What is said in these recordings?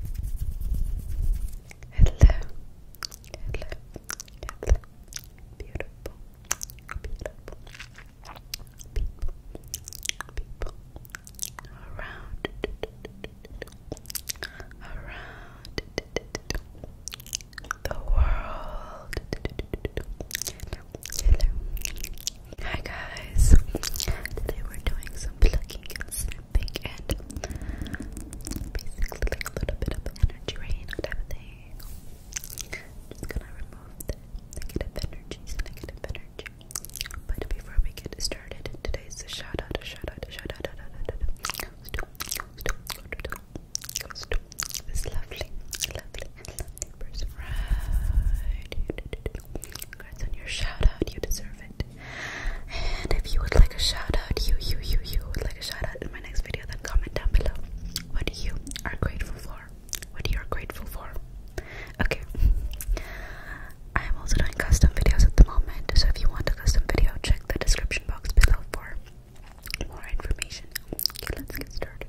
Hello, hello, hello, beautiful, beautiful people, people around, around the world. hi guys. Today we're doing some plucking think, and basically a little bit of energy rain type of thing. Just gonna remove the negative energies, negative energy. But before we get started, today's a shout out, a shout out, a shout out, this lovely, lovely, lovely person. Right. Congrats on your shout out, you deserve it. And if you would like a shout out, you, you, you, you would like a shout out in my next video, then comment down below what you are grateful for. What you are grateful for. Okay. I am also doing custom videos at the moment, so if you want a custom video, check the description box below for more information. Okay, let's get started.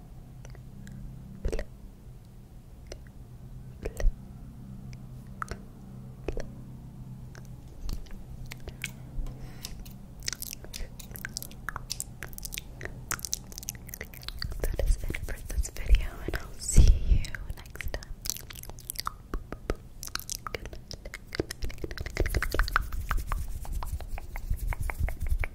That is it for this video, and I'll see you next time. Good night.